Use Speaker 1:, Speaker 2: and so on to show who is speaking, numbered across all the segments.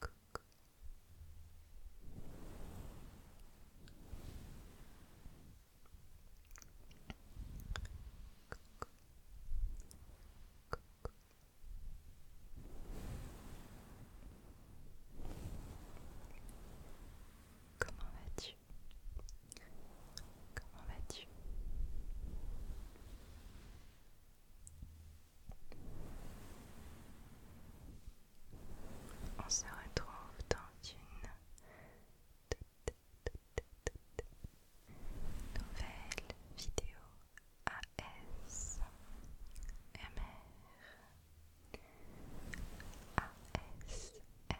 Speaker 1: Comment vas-tu? Comment vas-tu On se retrouve dans une nouvelle vidéo AS MR ASMR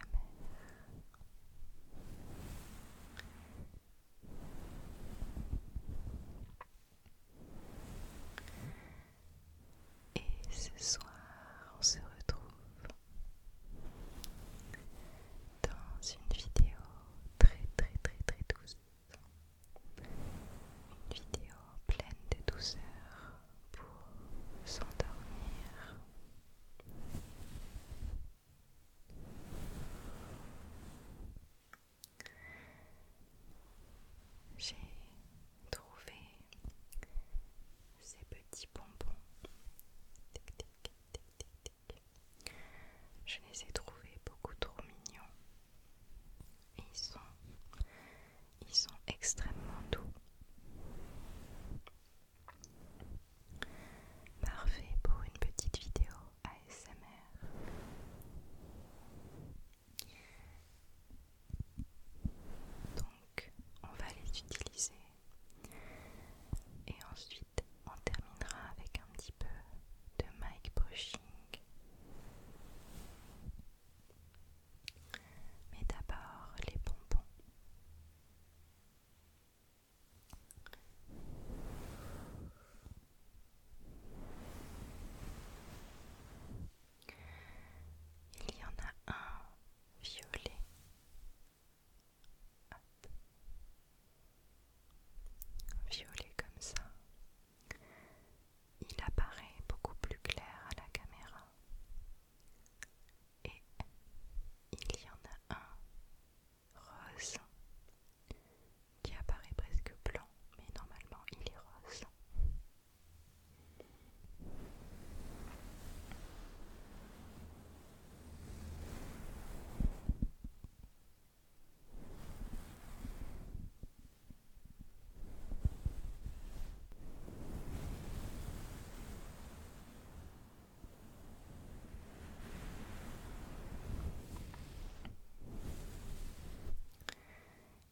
Speaker 1: et ce soir, on se retrouve dans une vidéo très très très très douce. Une vidéo pleine de douceur pour s'endormir. J'ai trouvé ces petits bonbons. Je les ai trouvés beaucoup trop mignons. Ils sont, ils sont extrêmement doux. Parfait pour une petite vidéo ASMR. Donc, on va les utiliser et ensuite on terminera avec un petit peu de mic brushing. Mais d'abord les bonbons. Il y en a un violet. Violet comme ça. Il apparaît beaucoup plus clair à la caméra. Et il y en a un rose qui apparaît presque blanc, mais normalement il est rose.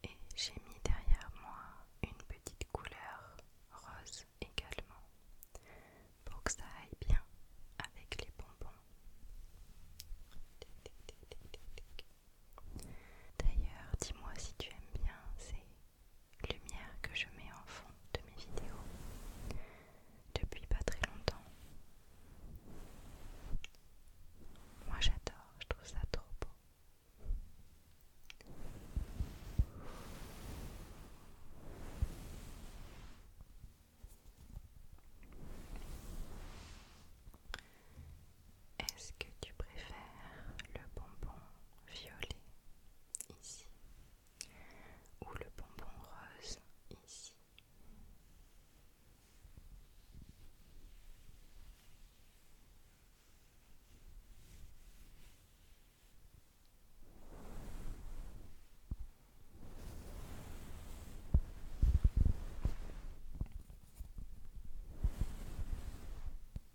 Speaker 1: Et j'ai mis derrière moi une petite couleur rose également pour que ça aille bien avec les bonbons. D'ailleurs, dis-moi si tu aimes bien ces lumière que je mets en fond de mes vidéos depuis pas très longtemps. Moi j'adore, je trouve ça trop beau. Est-ce que tu préfères le bonbon violet ici ou le bonbon rose ici.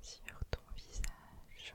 Speaker 1: sur ton visage.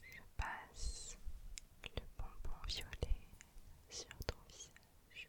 Speaker 1: Je passe le bonbon violet sur ton visage.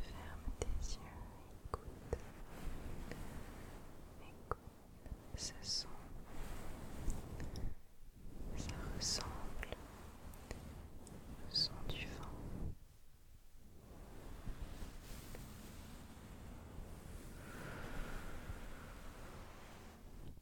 Speaker 1: Ferme tes yeux, écoute. Écoute ce son. Ça ressemble au son du vent.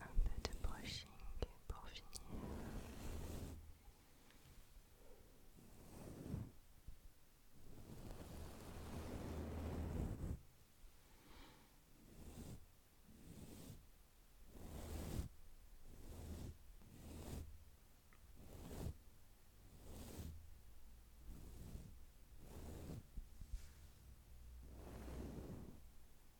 Speaker 1: un peu de brushing pour finir.